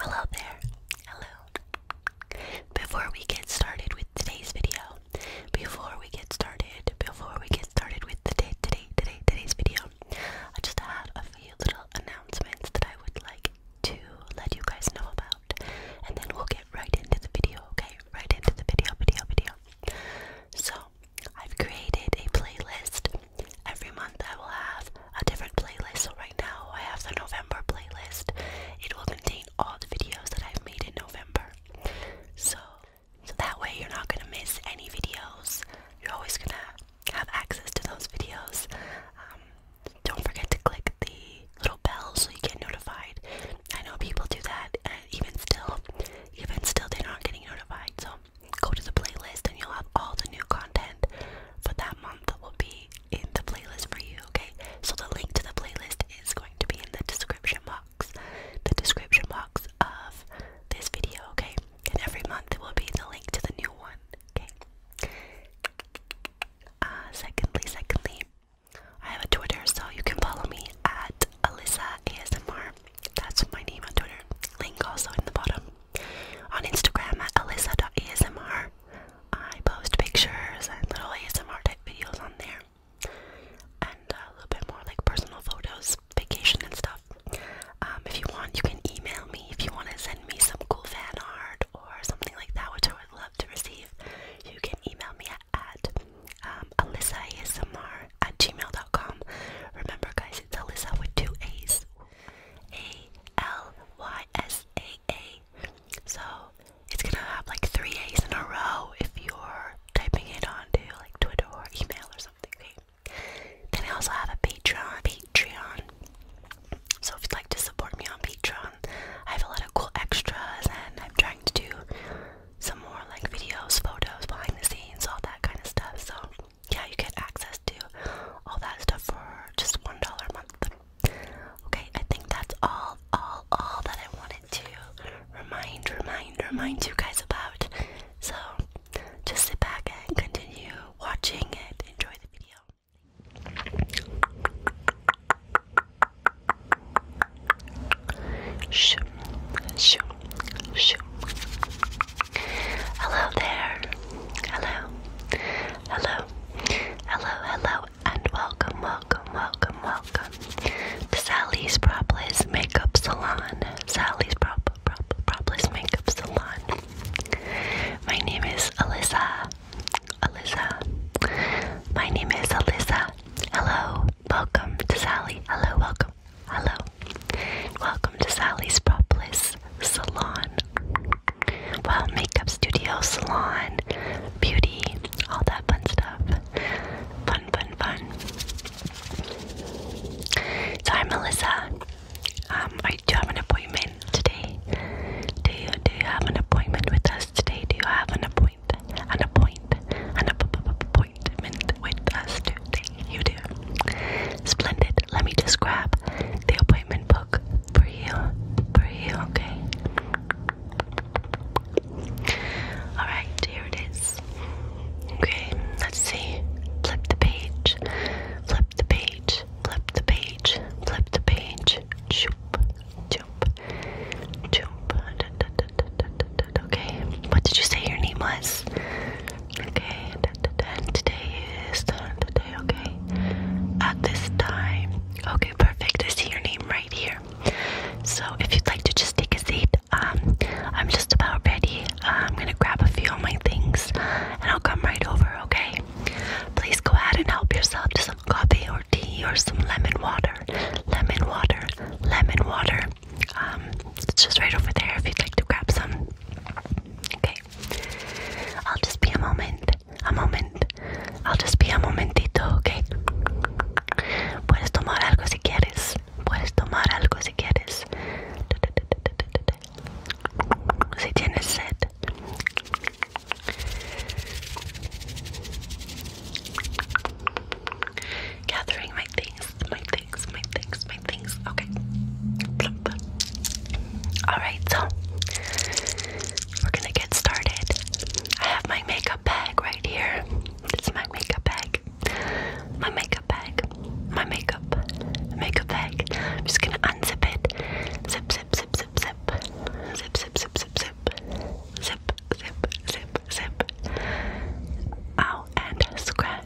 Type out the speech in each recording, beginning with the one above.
Hello there. Hello. Before we get started with today's video, before we get started, before we get started with today, today, today, today's video, I just had a few little announcements that I would like to let you guys know about, and then we'll get right into the video. Okay, right into the video, video, video. So I've created a playlist. Every month I will have a different playlist. So right now I have the November playlist. It will contain all the videos that I've made in November. So that way you're not gonna miss any videos. You're always gonna have access to those videos. Um, don't forget to click the little bell so you get notified. I know people do that, and even still, even still, they're not getting notified. So go to the playlist and you'll have all the new content for that month that will be in the playlist for you, okay? So the link to the playlist is going to be in the description box. The description box of this video, okay? And every month it will be the link to the new one, okay? Uh, secondly, secondly, I have a Twitter, so you can follow me at Alyssa ASMR. That's my name on Twitter. Link also in the bottom. On Instagram at alyssa.asmr. I post pictures and little ASMR type videos on there. And a little bit more like personal photos, vacation and stuff. Um, if you want, you can email me if you want to send me some cool fan art or something like that, which I would love to receive. You can email me at, at um, alyssa ASMR at gmail.com. Remember, guys, it's Alyssa with two A's. A L Y S A A. So it's gonna have like three A's in a row if you're typing it onto like Twitter or email or something. Okay? Then I also have a Patreon. Patreon. So if you'd like to support me on Patreon, I have a lot of cool extras and I'm trying to do some more like videos, photos, behind the scenes, all that kind of stuff. So yeah, you get access to all that stuff for just one dollar a month. Okay, I think that's all, all, all that I wanted to remind, remind, remind you guys about. So just sit back and continue watching and enjoy the video. Shoo, shoo, shoo. Hello there. Hello. Hello. Hello, hello, and welcome, welcome, welcome, welcome to Sally's Propolis Makeup Salon. Sally's Prop Prop Propolis Makeup Salon. My name is Alyssa. Alyssa. My name is Alyssa. Hello. Welcome to Sally. Hello, welcome, hello. Welcome to Sally's Propolis Salon. Well, makeup studio, salon, beauty, all that fun stuff. Fun, fun, fun. So, hi, Melissa. Um, I do you have an appointment today. Do you do you have an appointment with us today? Do you have an appointment? An appointment? An appointment? appointment with us today. You do. Splendid. Let me just grab the appointment book for you. For you, okay? Alright, here it is. Okay, let's see. Flip the page. Flip the page. Flip the page. Flip the page. Choop. Choop. Choop. Okay. What did you say your name was? Okay today is today, okay? At this time. Okay, perfect. I see your name right here. So if you'd like to just take a seat, um, I'm just about ready. Uh, I'm gonna grab a few of my things and I'll come right over, okay? Please go ahead and help yourself to some coffee or tea or some lemon water. Lemon water, lemon water. Um, it's just right over there if you'd like to grab some. Okay. I'll just be a moment. A moment. I'll just be a momentito, okay? Puedes tomar algo si quieres. Puedes tomar algo si quieres. Si tienes sed gathering my things, my things, my things, my things. Okay. Plump. All right, so we're gonna get started. I have my makeup bag right here. It's my makeup bag. My makeup bag. My makeup. Makeup bag. I'm just gonna unzip it. Zip, zip, zip, zip, zip. Zip, zip, zip, zip, zip. Zip, zip, zip, zip. Ow, and scratch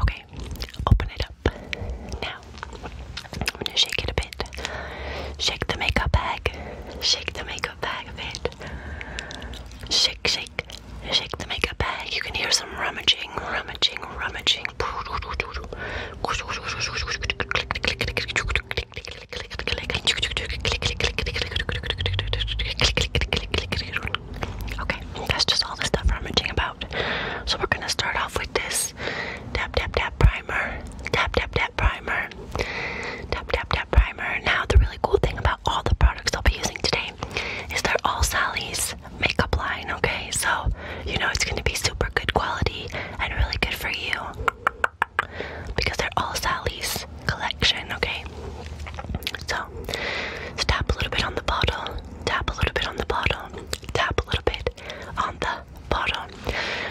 Okay, open it up. Now, I'm gonna shake it a bit. Shake the makeup bag. Shake the makeup bag a bit. Shake, shake, shake the makeup bag. You can hear some rummaging, rummaging, rummaging. Okay, that's just all the stuff I'm itching about. So we're gonna start off with this tap tap tap primer, tap tap tap primer, tap tap tap primer. Now the really cool thing about all the products I'll be using today is they're all Sally's makeup line. Okay, so you know it's gonna be super good quality and really good for you because they're all Sally's collection. Okay, now. So tap a little bit on the bottle, tap a little bit on the bottle, tap a little bit on the bottle.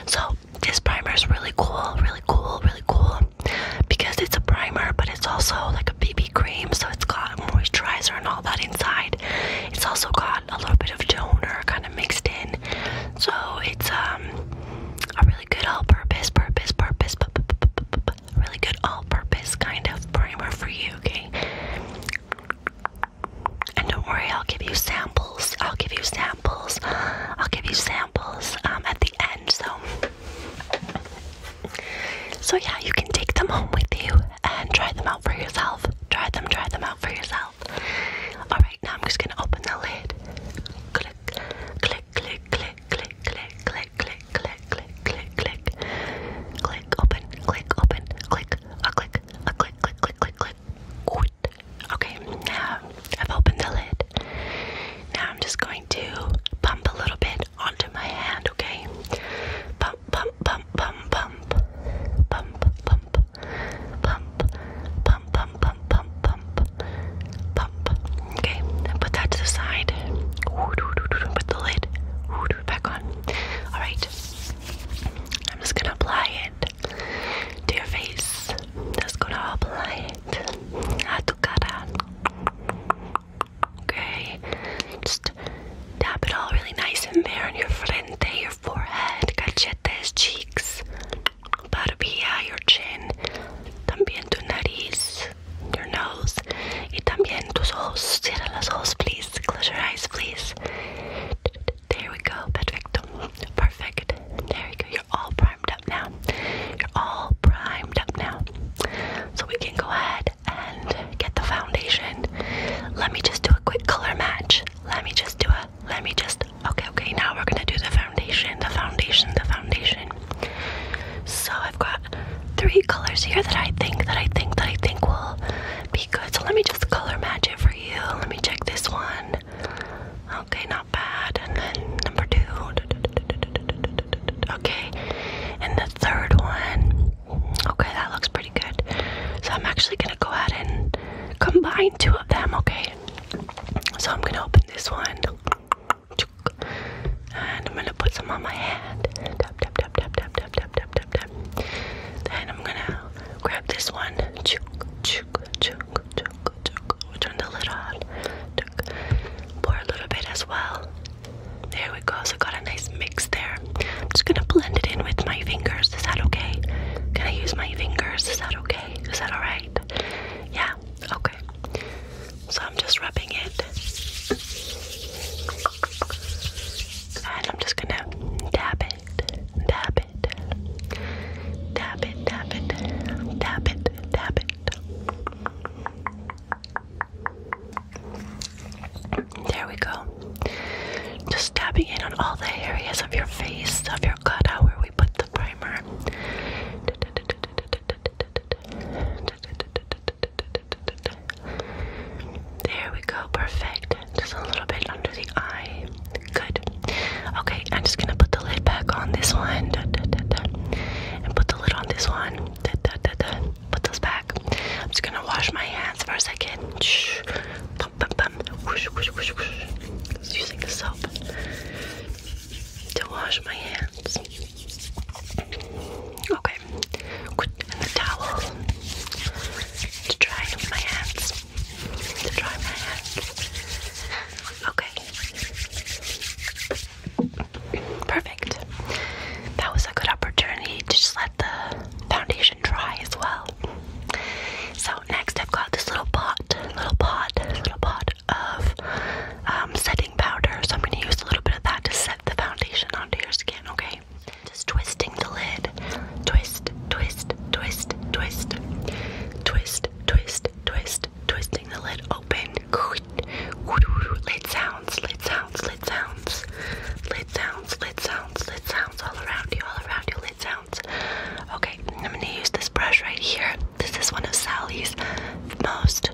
So this primer is really cool, really cool, really cool because it's a primer, but it's also like a BB cream, so it's got moisturizer and all that inside. It's also got a little bit of toner kind of mixed in, so it's um a really good all-purpose, purpose, purpose, purpose, really good all-purpose kind of primer for you, okay? And don't worry, I'll give you samples. I'll give you samples. I'll give you samples um, at the end. So, so yeah, you can take them home with you and try them out for yourself. Try them, try them out for yourself. All right, now I'm just gonna open the lid. Click, click, click, click, click, click, click, click, click, click, click, click, click, open, click, open, click, a click, a click, click, click, click, click. Good. Okay, now I've opened the lid. Now I'm just going to pump a little bit onto my hand, okay? Pump, pump, pump, pump, pump, pump, pump, pump, pump, pump, pump, pump, pump, pump. Okay, put that to the side. Put the lid back on. Alright, I'm just gonna apply it to your face. Just gonna apply it. Okay, just tap it all really nice in there on your frente, your forehead, cachetes, cheeks, barbilla, your chin, también tu nariz, your nose y también tus ojos. Close your eyes, please. There we go. Perfecto. Perfect. There we go. You're all primed up now. You're all primed up now. So we can go ahead and get the foundation. Let me just do a quick color match. Let me just do a. Let me just. Okay, okay. Now we're gonna do the foundation. The foundation. The foundation. So I've got three colors here that I think that I think that I think will be good. So let me just color match it for you. Let me check this one. Okay, not bad. And then number two. Okay. And the third one. Okay, that looks pretty good. So I'm actually gonna go ahead and combine two of them, okay? So I'm gonna open this one. And I'm gonna put some on my hand. Tap, tap, tap, tap, tap, tap, tap, tap, tap, tap. Then I'm gonna grab this one. Chook, chook, chook, chook, chook. We'll turn the lid on. Chook. Pour a little bit as well. There we go. So got a nice mix there. I'm just gonna blend it in with my fingers. Is that okay? Can I use my fingers? Is that okay? Is that alright? Yeah. Okay. So I'm just rubbing it. And I'm just gonna dab it, dab it, dab it, dab it, dab it, dab it. There we go. Just dabbing it on all the areas of your face, of your cutout where we put the primer. There we go, perfect. Just a little bit under the eye. Good. Okay, I'm just gonna put the lid back on this one. And put the lid on this one. Put those back. I'm just gonna wash my hands for a second. Just using the soap to wash my hands. Okay, And the towel to dry my hands. To dry my hands. Okay. Perfect. That was a good opportunity to just let the foundation dry as well. So next I've got this little pot, little pot, little pot of um, setting powder, so I'm going to use a little bit of that to set the foundation onto your skin, okay? Just twisting the lid. Twist, twist, twist, twist. Twist, twist, twist, twisting the lid open. Lid sounds, lid sounds, lid sounds. Lid sounds, lid sounds, lid sounds all around you, all around you, lid sounds. Okay, I'm going to use this brush right here. This is one of Sally's most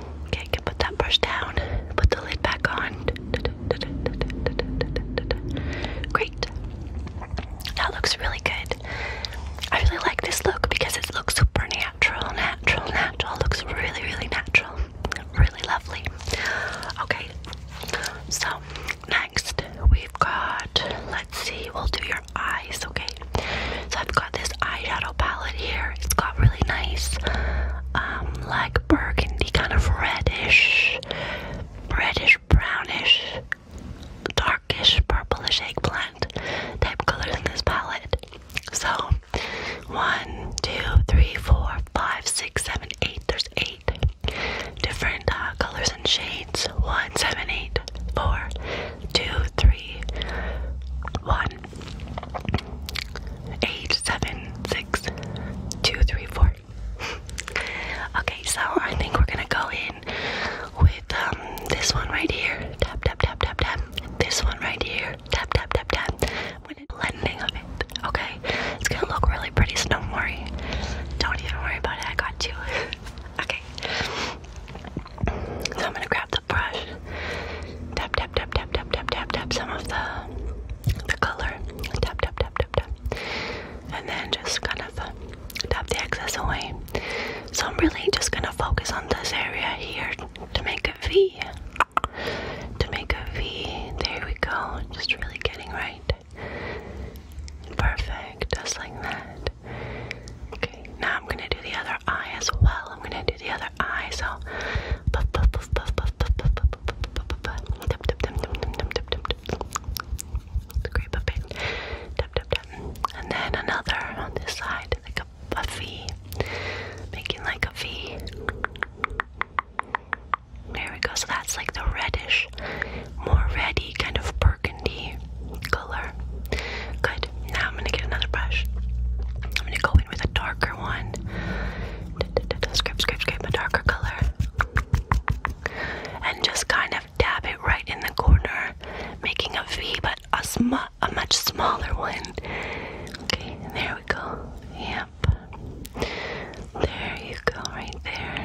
Okay, can put that brush down. Put the lid back on. Great. That looks really good. I really like this look because it looks super natural, natural, natural. looks really, really natural. Really lovely. Okay, so next we've got, let's see, we'll do your eyes, okay? So I've got this eyeshadow palette here. It's got really nice, um, like burgundy, kind of reddish, reddish, brownish, darkish, purplish eggplant type colors in this palette. So, one, two, three, four, five, six, seven, eight. There's eight different uh, colors and shades. One, seven, eight, four, two, three, one, eight seven six two three four. okay, so I think we're gonna go in with um this one right here. Tap tap tap tap tap. This one right here. Tap tap tap tap. With a blending of it. Okay, it's gonna look really pretty. So don't worry. Don't even worry about it. I got you. okay. So I'm gonna grab the brush. Tap tap tap tap tap tap tap tap tap some of the the color. Tap tap tap tap tap. And then just kind of uh, tap the excess away. So I'm really just gonna focus on this area here to make a V. To make a V. There we go. Just really getting right. Perfect. Just like that. Okay. Now I'm gonna do the other eye as well. I'm gonna do the other other eye. So, puff, puff, puff, puff, puff, puff, puff, puff, puff, puff, puff, tap, tap, tap, tap, tap, tap, tap, tap. It's a great buffet. Tap, tap, tap. And then another on this side, like a a V, making like a V. There we go. So that's like the reddish, more reddy kind of burgundy color. Good. Now I'm gonna get another brush. I'm gonna go in with a darker one Scrape, scrape, scrape a darker color. And just kind of dab it right in the corner, making a V, but a, sm a much smaller one. Okay, there we go. Yep. There you go, right there.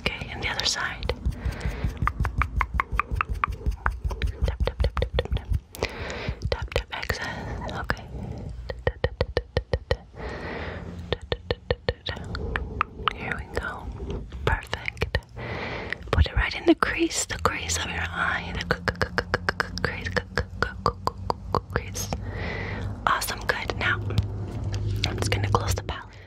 Okay, and the other side. Tap, tap, tap, tap, tap, tap. Tap, tap, excess. Okay. Here we go. Perfect. Put it right in the crease, the crease of your eye. The crease, crease. Awesome, good. Now, I'm just going to close the palette.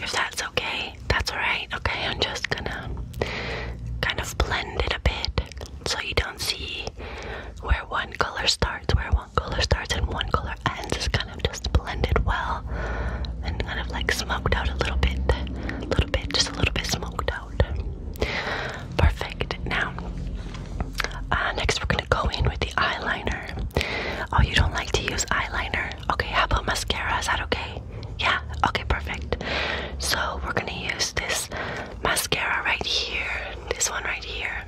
if that's okay. That's alright. Okay, I'm just gonna kind of blend it a bit so you don't see where one color starts, where one color starts and one color ends. Just kind of just blended well and kind of like smoked out a little bit. little bit, just a little bit smoked out. Perfect. Now uh, next we're gonna go in with the eyeliner. Oh, you don't like to use eyeliner? Sure. Okay, how about mascara? Is that okay? Yeah, okay, perfect. So we're gonna use this mascara right here, this one right here.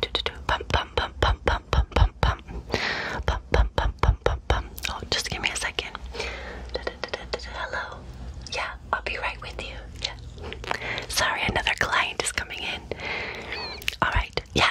Do do do pump pump pump pump pump pump pump pump pump pump pump pump pump pump. Oh, just give me a second. Da, da, da, da, da, da. Hello. Yeah, I'll be right with you. Yeah. Sorry, another client is coming in. Alright, yeah,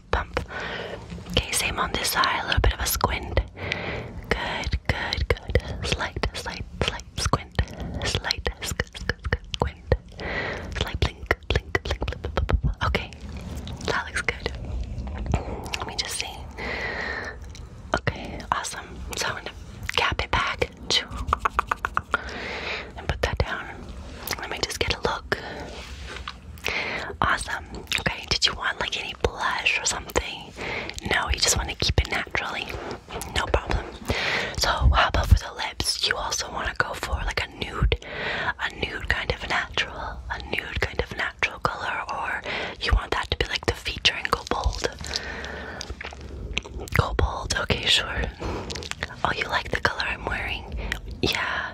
pump, Okay, same on this side, a little bit of a squint. Good, good, good. Slight, slight, slight squint. Slight, squ squ squint. Slight blink, blink, blink, Okay, that looks good. Let me just see. Okay, awesome. So I'm gonna cap it back and put that down. Let me just get a look. Awesome. Okay, did you want like any blush or something? No, you just want to keep it naturally. No problem. So how about for the lips? You also want to go for like a nude, a nude kind of natural, a nude kind of natural color, or you want that to be like the feature and go bold. Go bold. Okay, sure. Oh, you like the color I'm wearing? Yeah,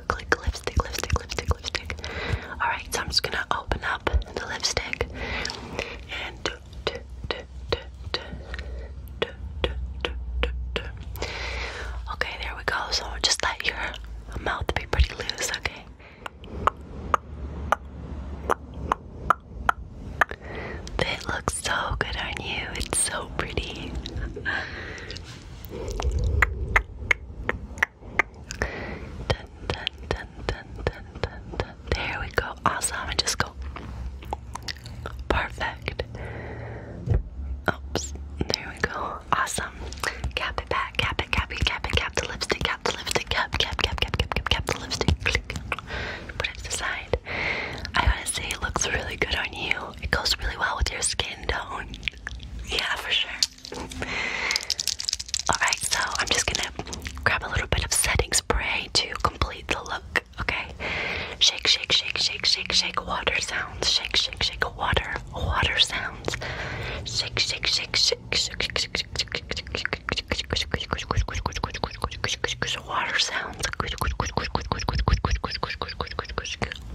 click, lipstick, lipstick, lipstick, lipstick. Alright, so I'm just gonna open up the lipstick Okay, there we go. So just let your mouth be pretty loose, okay? That looks so good on you. It's so pretty. Dun, dun, dun, There we go. Awesome. just go. Perfect. Oops. There we go. Awesome. Cap it back. Cap it, cap it, cap it, cap the lipstick, cap the lipstick, cap, cap, cap, cap, cap, cap, the lipstick. Click. Put it to the side. I want to say it looks really good on you. It goes really well with your skin tone. Yeah, for sure. Alright, so I'm just gonna grab a little bit of setting spray to complete the look, okay? Shake, shake, shake, shake, shake, shake, water sounds. Shake, shake, shake, water, water sounds. Shake, shake, shake, shake, shake, shake, shake, Water sounds.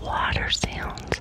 Water sounds.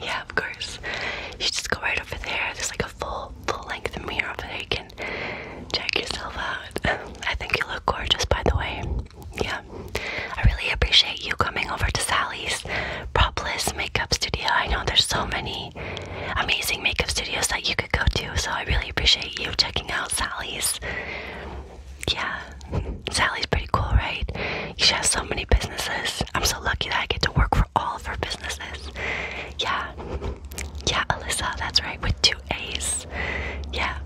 yeah, of course. You just go right over there. There's like a full, full length mirror over You can check yourself out. I think you look gorgeous, by the way. Yeah, I really appreciate you coming over to Sally's Propless Makeup Studio. I know there's so many amazing makeup studios that you could go to, so I really appreciate you checking out Sally's. Yeah, Sally's pretty cool, right? She has so many businesses. I'm so lucky that I get to work for all of her businesses. Yeah. Yeah, Alyssa, that's right, with two A's. Yeah.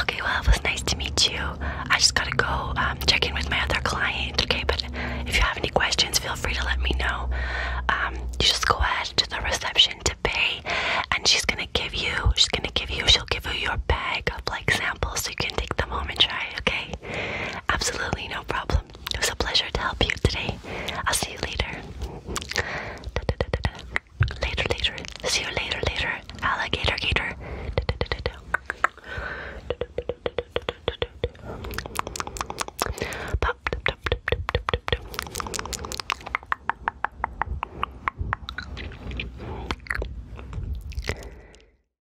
Okay, well, it was nice to meet you. I just gotta go um, check in with my other client, okay? But if you have any questions, feel free to let me know. Um, you just go ahead to the reception to pay, and she's gonna give you, she's gonna give you, she'll give you your bag of like samples so you can take them home and try, okay? Absolutely no problem. It was a pleasure to help you today. I'll see you later. Later, later. See you later, later. Alligator, gator.